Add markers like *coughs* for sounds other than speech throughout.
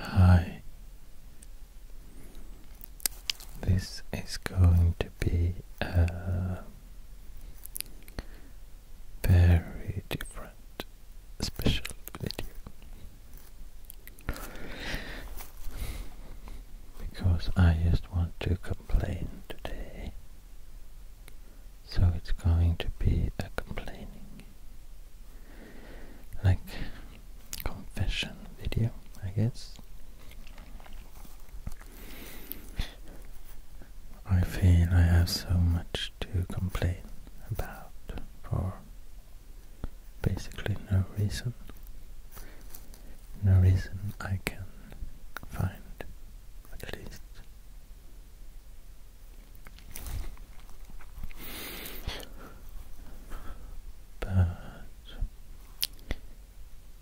Hi, this is going to be a very different special video because I just want to complain today. So it's going to be a complaining, like confession video, I guess. I feel I have so much to complain about for basically no reason no reason I can find, at least. But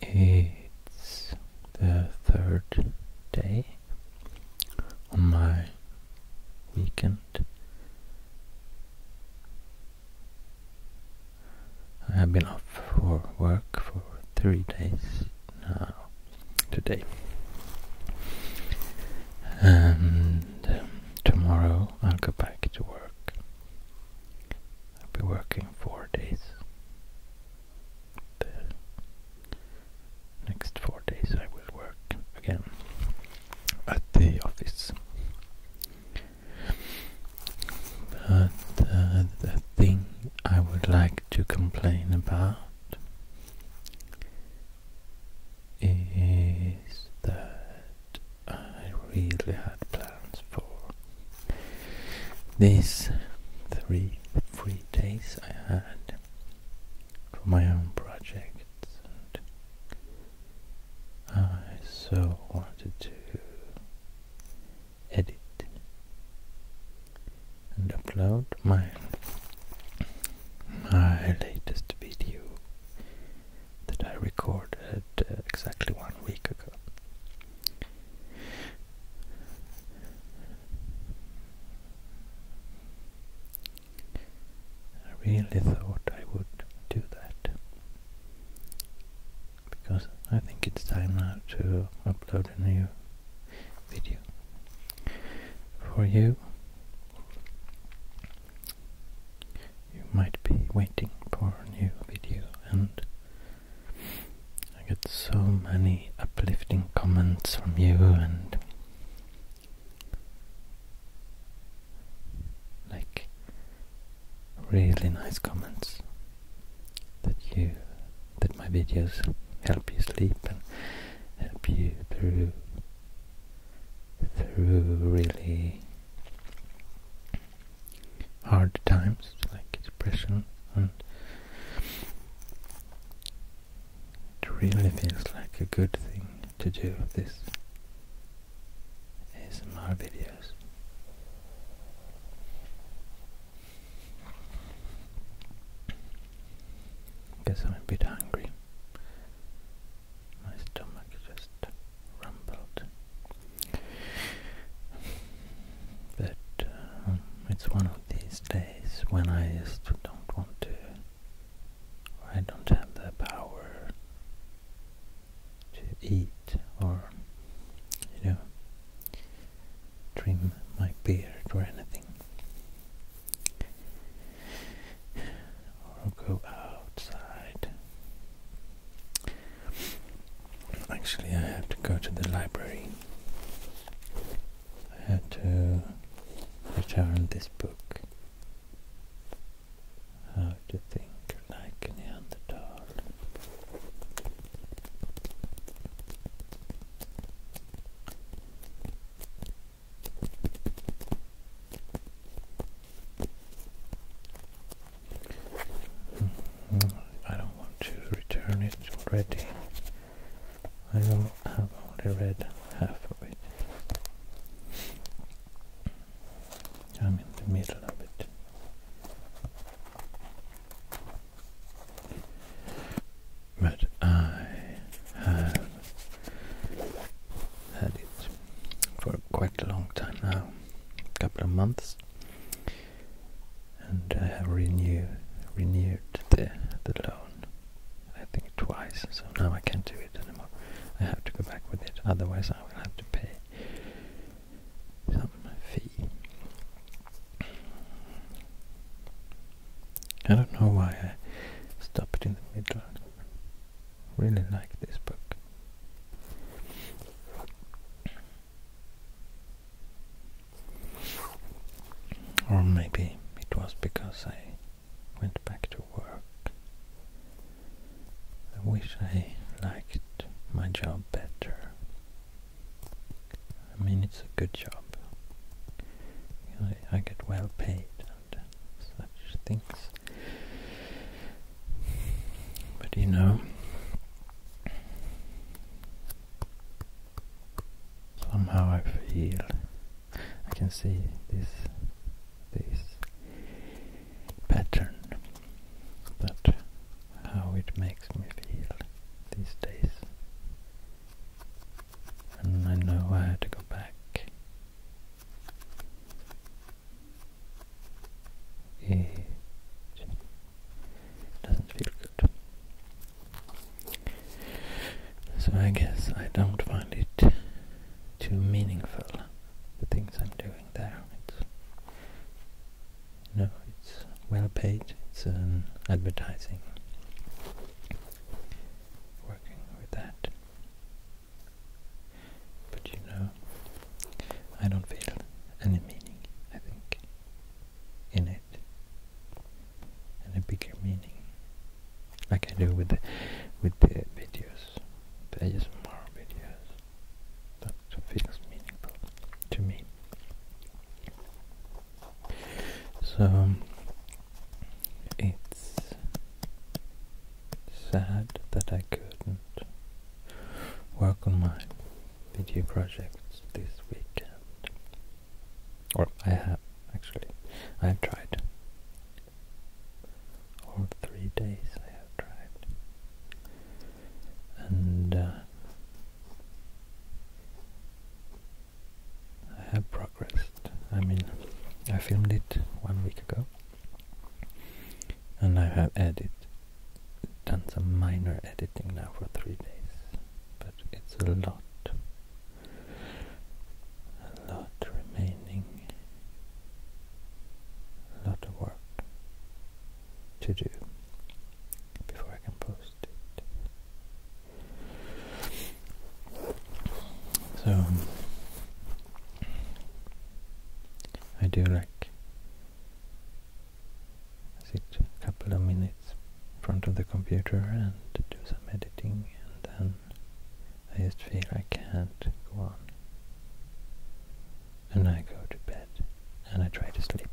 it's the third day on my weekend I have been off for work for three days now today. And um, tomorrow I'll go back to work. I'll be working four days. The next four days I will work again at the office. But uh, the thing I would like to complain about is that I really had plans for these three free days I had for my own projects, and I so wanted to edit and upload my my latest video that I recorded uh, exactly one week ago. I really thought I would do that because I think it's time now to upload a new video for you. You might be waiting for a new video and I get so many uplifting comments from you and like really nice comments that you that my videos help you sleep and help you through through really hard times like depression and it really feels like a good thing to do this is ASMR videos Guess I'm a bit hungry. My stomach just rumbled. But um, it's one of these days when I just don't want to, or I don't have the power to eat, or you know, trim my beard or anything. Or go outside. Actually, I have to go to the library. I had to return this book. How to think like a Neanderthal. Hmm. I don't want to return it already. I will have only read half of it. I'm in the middle of it. But I have had it for quite a long time now, a couple of months, and I have renew, renewed the, the loan, I think twice, so now I can't do it anymore. I have to go back with it, otherwise I will have to pay some fee. I don't know why I stopped in the middle. I really like this book. Or maybe it was because I went back to work. I wish I liked my job better. I mean, it's a good job. I, get well paid and such things. But you know, somehow I feel I can see this this pattern that how it makes me feel these days. And I know I had to go back it doesn't feel good. So I guess I don't find it too meaningful, the things I'm doing there. It's no, it's well paid. It's an um, advertising working with that. But you know, I don't feel any meaning, I think, in it. And a bigger meaning. Like I do with the with the videos. The more videos. That feels meaningful to me. So it's sad that I couldn't work on my video projects this weekend. Or I have actually. I have tried. All three days I have tried. And uh, I have progressed. I mean, I filmed it one week ago, and I have edited, done some minor editing now for three days, but it's a lot. A lot remaining, a lot of work, to do before I can post it. So I do like sit a couple of minutes in front of the computer and do some editing and then I just feel I can't go on. And I go to bed and I try to sleep.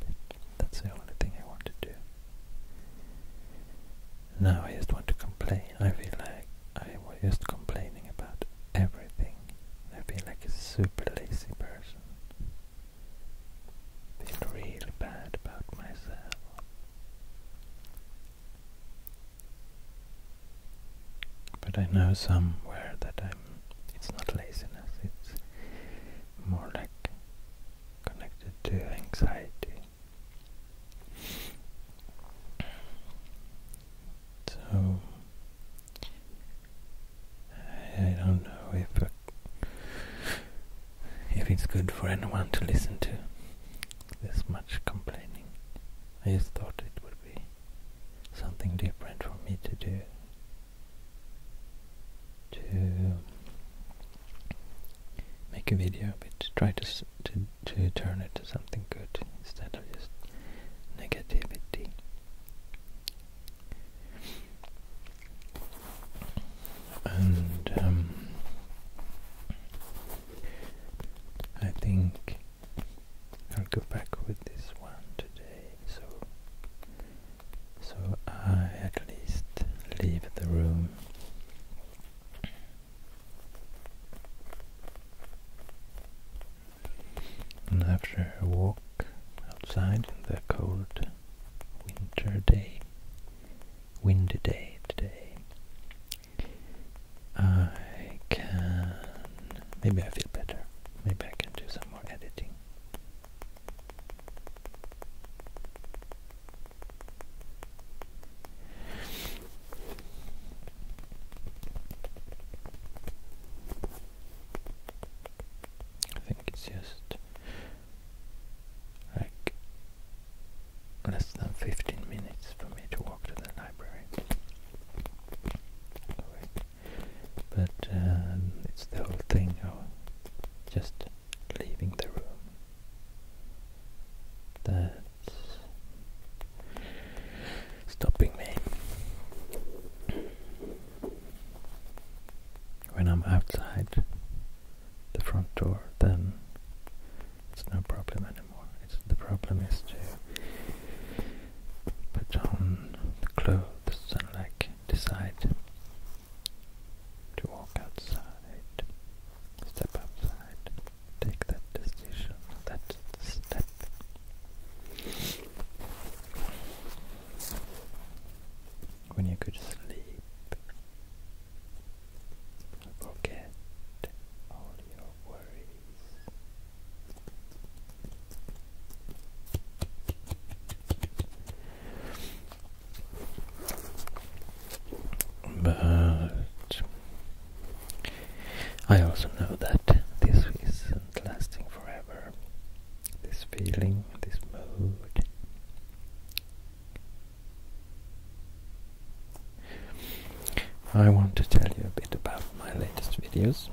That's the only thing I want to do. Now I just want to complain. I feel like I was just complaining about everything. I feel like a super lazy person. I feel really bad about myself. But I know somewhere that I'm. It's not laziness. It's more like connected to anxiety. So, I don't know if if it's good for anyone to listen to this much complaining. I just thought it would be something different for me to do to make a video, but try to to to turn it to something good instead of just negativity. And um, I think I'll go back with this one today. So so I at least leave the room. And after a walk outside in the cold winter day, windy day today, I can, maybe I feel better, maybe I can do some more editing. I think it's just like less than 15 minutes for me to walk to the library. But um, it's the whole thing of just leaving the room. That's stopping me. When I'm outside the front door, then it's no problem anymore. It's, the problem is to put on the clothes and like decide to walk outside, step outside, take that decision, that step. When you could sleep, forget all your worries. But I also know that this isn't lasting forever. This feeling, this mood. I want to tell you a bit about my latest videos.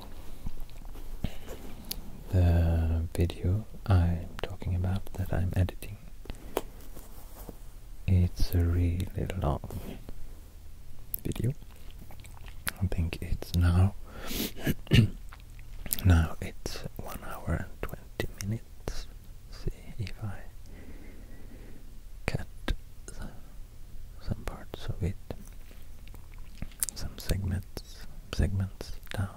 The video I'm talking about that I'm editing it's a really long video. I think it's now. *coughs* now it's one hour and twenty minutes. see if I cut some parts of it, some segments, segments down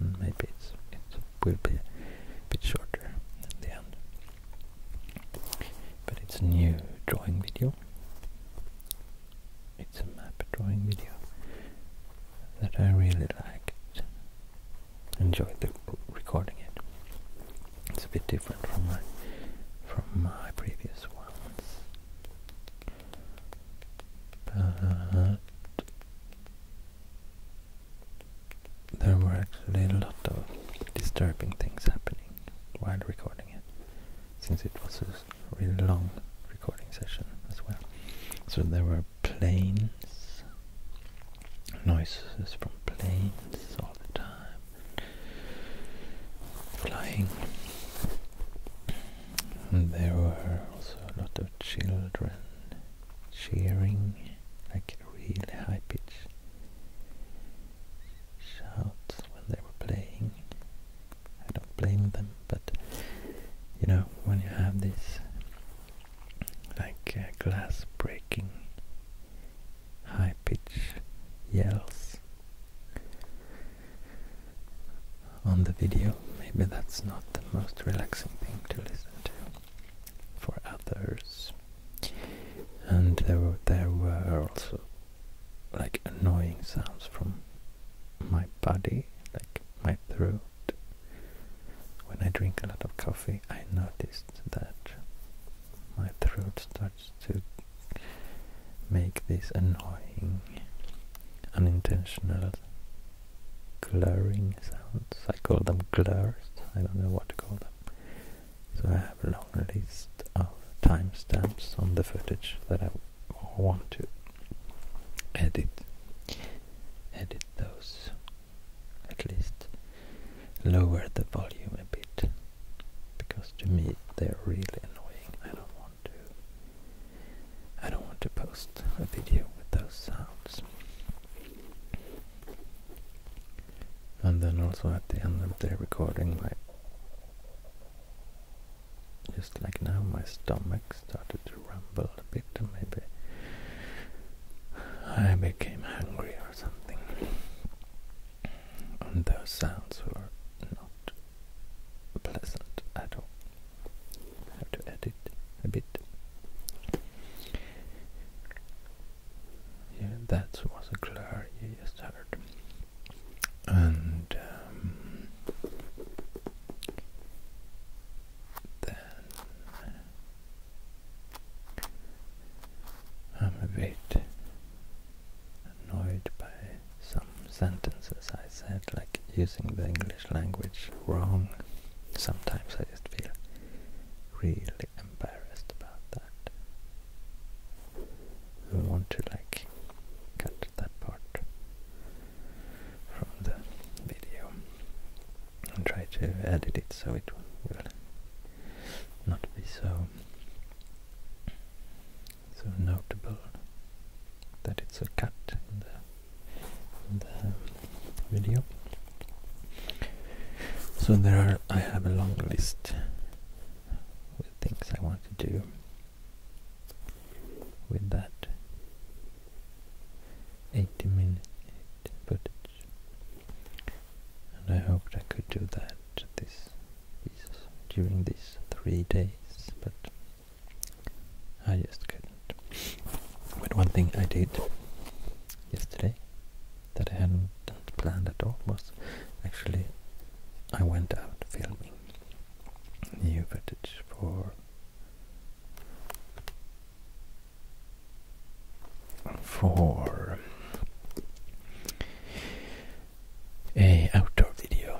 then maybe it's, it will be a bit shorter at the end. But it's a new drawing video. It's a map drawing video that I really liked. Enjoyed the recording it. It's a bit different from my from my previous ones there were actually a lot of disturbing things happening while recording it, since it was a really long recording session as well. So there were planes, noises from planes all the time, flying. And there were also a lot of children cheering like a really high pitch shouts when they were playing. I don't blame them, but you know, when you have this like uh, glass breaking high pitch yells on the video, maybe that's not the most relaxing thing to listen to for others. And there were, there were also like annoying sounds from my body, like my throat. When I drink a lot of coffee, I noticed that my throat starts to make these annoying, unintentional glaring sounds. I call them glurs. I don't know what to call them. So I have a long list of timestamps on the footage that I want to edit. Edit those. At least lower the volume a bit. Because to me they're really annoying. I don't want to I don't want to post a video with those sounds and then also at the end of the recording my just like now my stomach started to rumble a bit and maybe I became hungry or something and those sounds were not pleasant at all have to edit a bit yeah, that was a glare you heard. And um, then I'm a bit annoyed by some sentences I said, like using the English language wrong. Sometimes I just feel really embarrassed about that. I want to like cut that part from the video and try to edit it so it will not be so so notable that it's a cut in the the video. So there are, I have a long list with things I want to do with that 80 minute footage and I hoped I could do that this during these three days but I just couldn't. But one thing I did yesterday that I hadn't planned at all was actually I went out filming new footage for for a outdoor video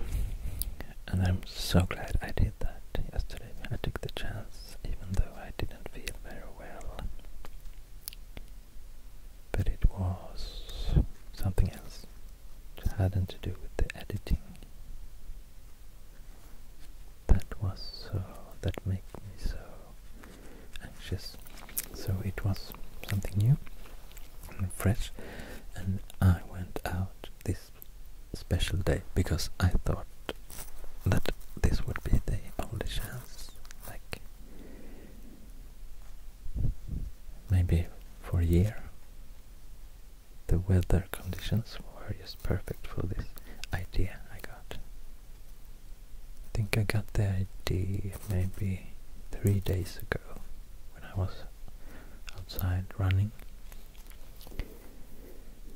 and I'm so glad I did that yesterday. I took the chance even though I didn't feel very well. But it was something else. It hadn't to do with the editing. That was so, that made me so anxious. So it was something new and fresh, and I went out this special day because I thought that this would be the only chance. Like maybe for a year, the weather conditions were just perfect for this idea I got. I think I got the idea maybe three days ago when I was outside running.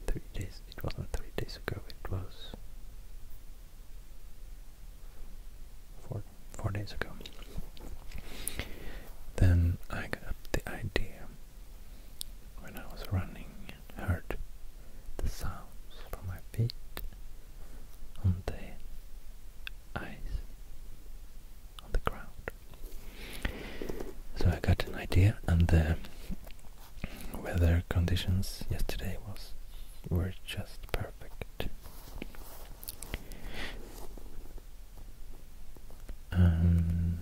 Three days it wasn't three days ago, it was four, days ago. Then I got the idea when I was running and heard the sounds from my feet on the ice, on the ground. So I got an idea and the uh, weather conditions yesterday was were just perfect. And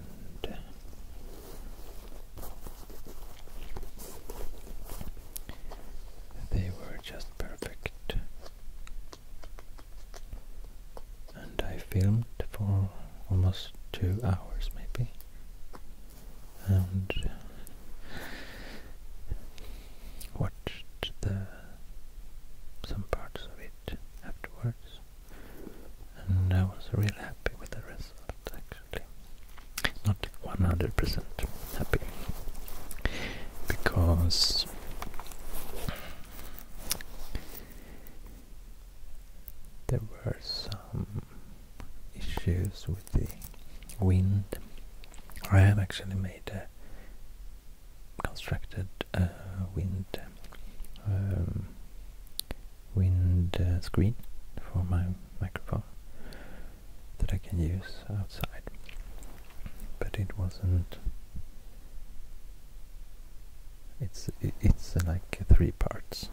they were just perfect. And I filmed for almost two hours, maybe and watched some parts of it afterwards and I was really happy with the result actually not 100% happy because there were some um, issues with the wind. I have actually made a constructed uh, wind um, wind uh, screen for my microphone that I can use outside, but it wasn't. It's it's uh, like three parts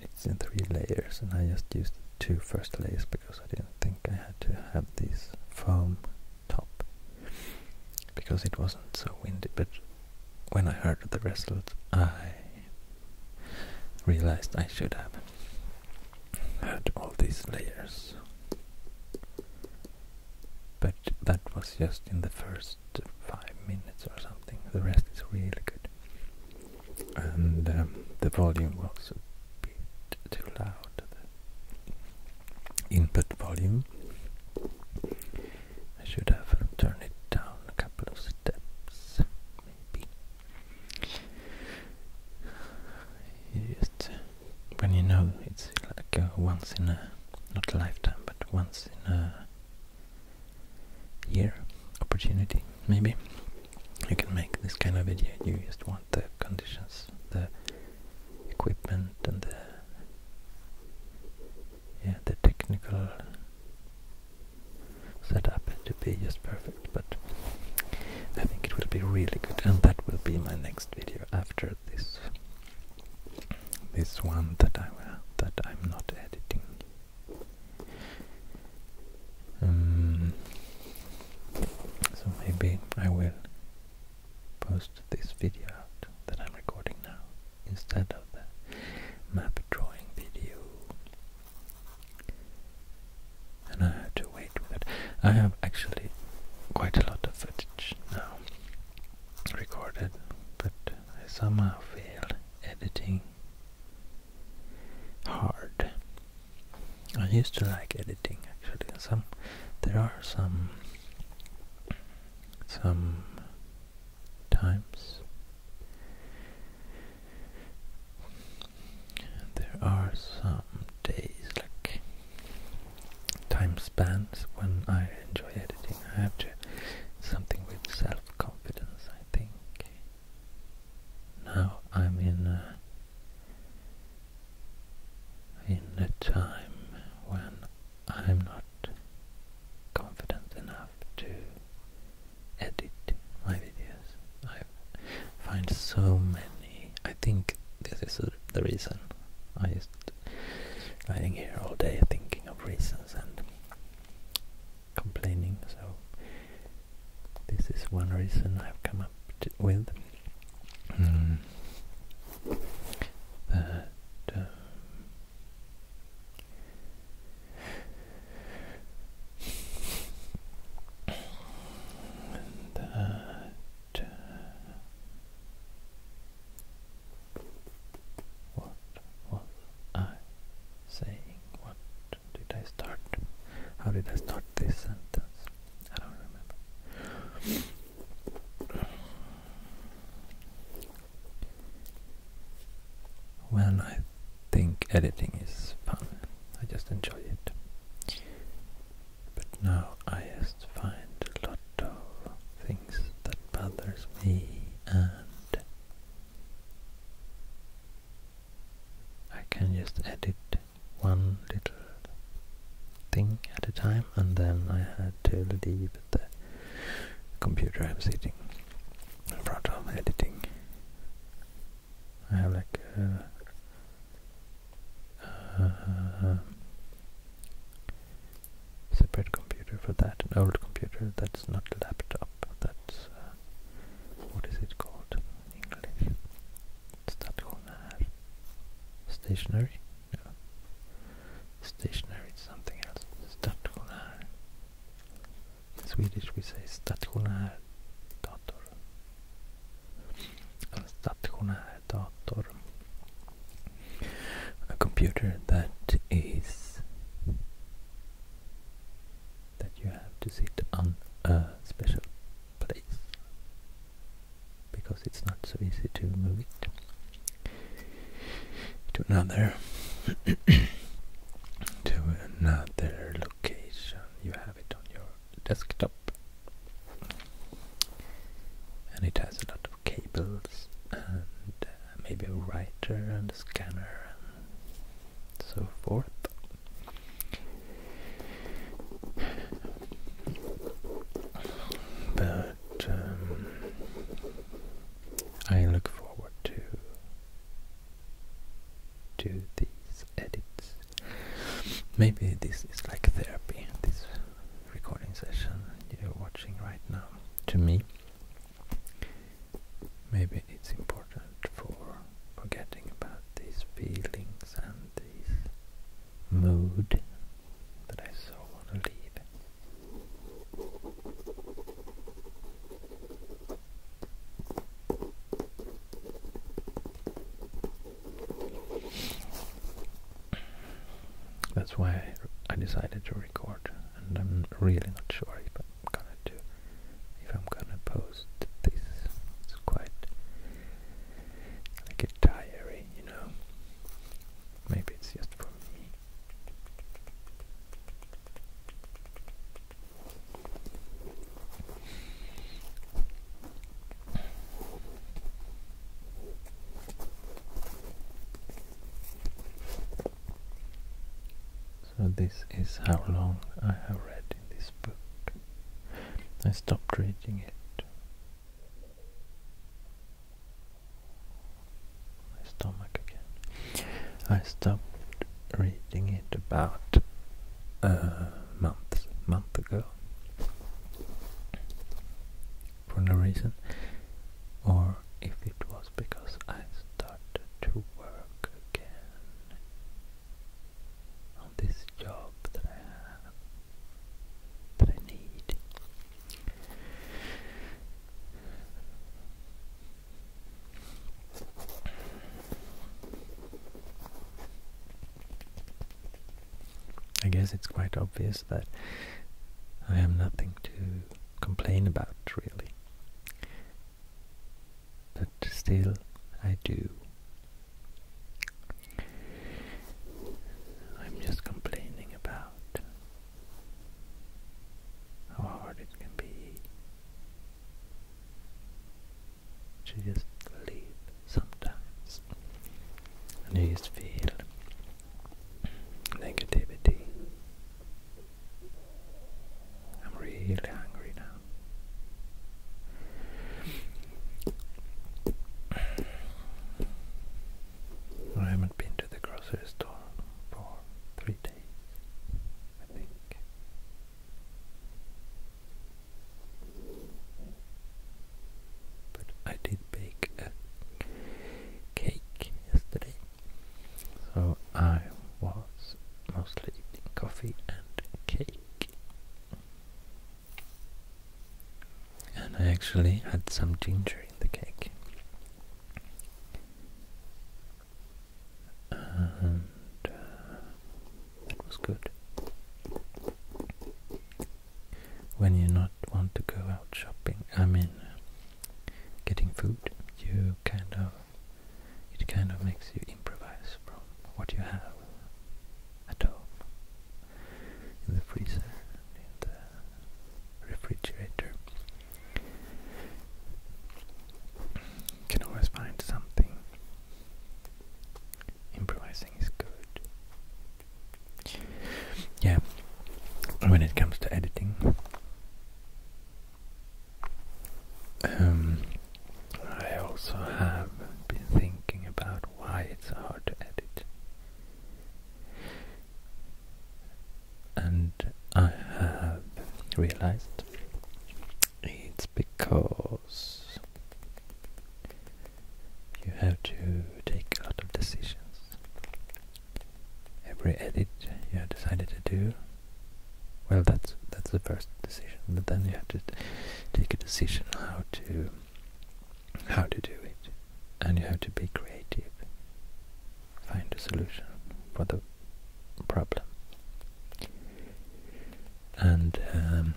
it's in three layers and I just used two first layers because I didn't think I had to have this foam top because it wasn't so windy but when I heard the result I realized I should have had all these layers but that was just in the first five minutes or something. The rest is really good. And um, the volume was a bit too loud. The input volume. I should have turned it down a couple of steps, maybe. just when you know it's like once in a not a lifetime, but once in a year opportunity maybe you can make this kind of video you just want the conditions the equipment and the yeah the technical setup to be just perfect but I think it will be really good and that will be my next video after this this one that I that I'm not editing um, so maybe I will post this video out that I'm recording now instead of the map drawing video. And I have to wait with it. I have actually quite a lot of footage now recorded, but I somehow feel editing hard. I used to like editing actually. Some there are some some times there are some days like time spans when I enjoy editing. I have to something with self confidence think. Now I'm in a, in a time when I'm not confident enough to edit my videos. I find so many. I think this is the reason. I am lying here all day thinking of reasons and complaining. So this is one reason I've come up with hmm, that um, uh, what was I saying? What did I start? How did I start this sentence? I don't remember. When I think editing is fun, I just enjoy it. But now I just find a lot of things that bothers me and I can just edit one little thing at a time and then I had to leave the computer I'm sitting in front of editing. I have like a, uh, separate computer for that, an old computer that's not a laptop, uh, what is it called in English? Stationary? Stationary something else. Stationär. In Swedish we say stationär uh, A computer that is that you have to sit on a special place because it's not so easy to move it to another *coughs* to another location you have it on your desktop and it has a lot of cables and uh, maybe a writer and a scanner so forth. But um, I look forward to to these edits. Maybe this is like therapy. This recording session you're watching right now to me Maybe it's important for forgetting about these feelings and this mood that I so want to leave. That's why I decided to record, and I'm really not sure if I'm gonna do if I'm gonna post this. It's quite like a diary, you know. Maybe it's just so this is how long I have read in this book. I stopped reading it. My stomach again. I stopped reading it about a uh, month, month ago. For no reason. Or if it was because I started to work again on this job that I that I need. I guess it's quite obvious that I have nothing to complain about, really but still I do. I'm just complaining about how hard it can be to just leave sometimes and you just feel negativity I'm really hungry now. I haven't been to the grocery store for three days, I think. But I did bake a cake yesterday. So I was mostly eating coffee and cake. And I actually had some ginger in the cake. And uh, was good. When you not want to go out shopping, I mean, uh, getting food, you kind of it kind of makes you improvise from what you have at home, in the freezer, in the refrigerator. You can always find something. Improvising is good. Yeah, when it comes to editing, um, I also have been thinking about why it's hard to edit. And I have realized it's because you have to take a lot of decisions. Every edit you have decided to do well, that's that's the first decision, but then you have to take a decision how to how to do it, and you have to be creative. Find a solution for the problem, and um,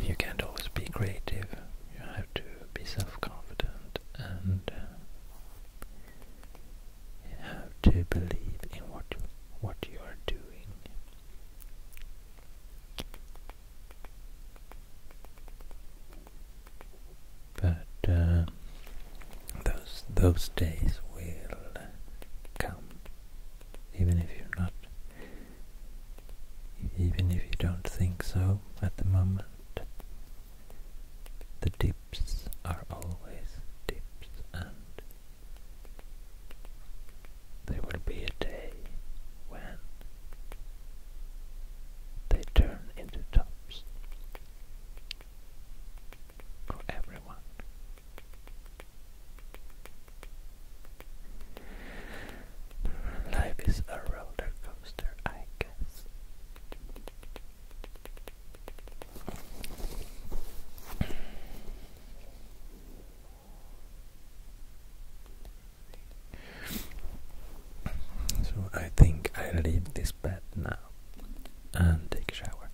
you can't always be creative. You have to be self-confident and uh, have to believe in what what you are doing. But uh, those those days will come, even if you're not, even if you don't think so at the moment. The dips are always dips and there will be a day when they turn into tops for everyone. Life is a roller coaster, I guess. So I think I leave this bed now and take a shower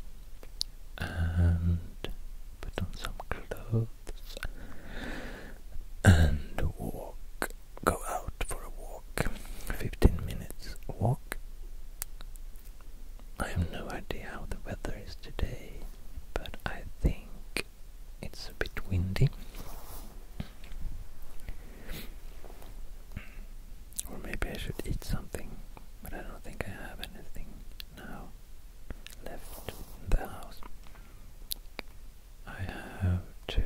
and put on some clothes and walk. Go out for a walk. Fifteen minutes walk I have no idea how the weather is today, but I think it's a bit windy. Or maybe I should eat something, but I don't think I have anything now left in the house. I have to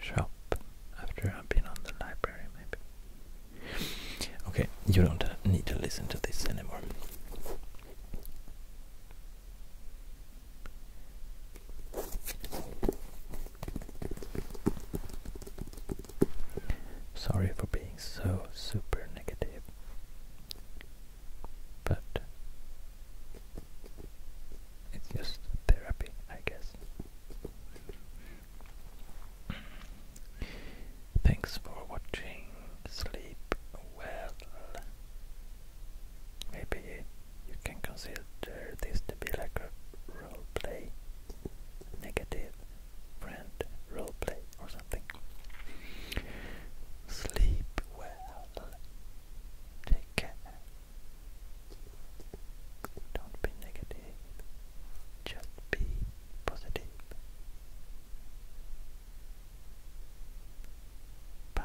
shop after I've been on the library, maybe. Okay, you don't need to listen to this anymore. Sorry for being so super negative, but it's just therapy, I guess. Thanks for watching. Sleep well. Maybe you can consider this to be like a roleplay, negative friend roleplay or something. Sleep well. Take care. Don't be negative. Just be positive. Bye.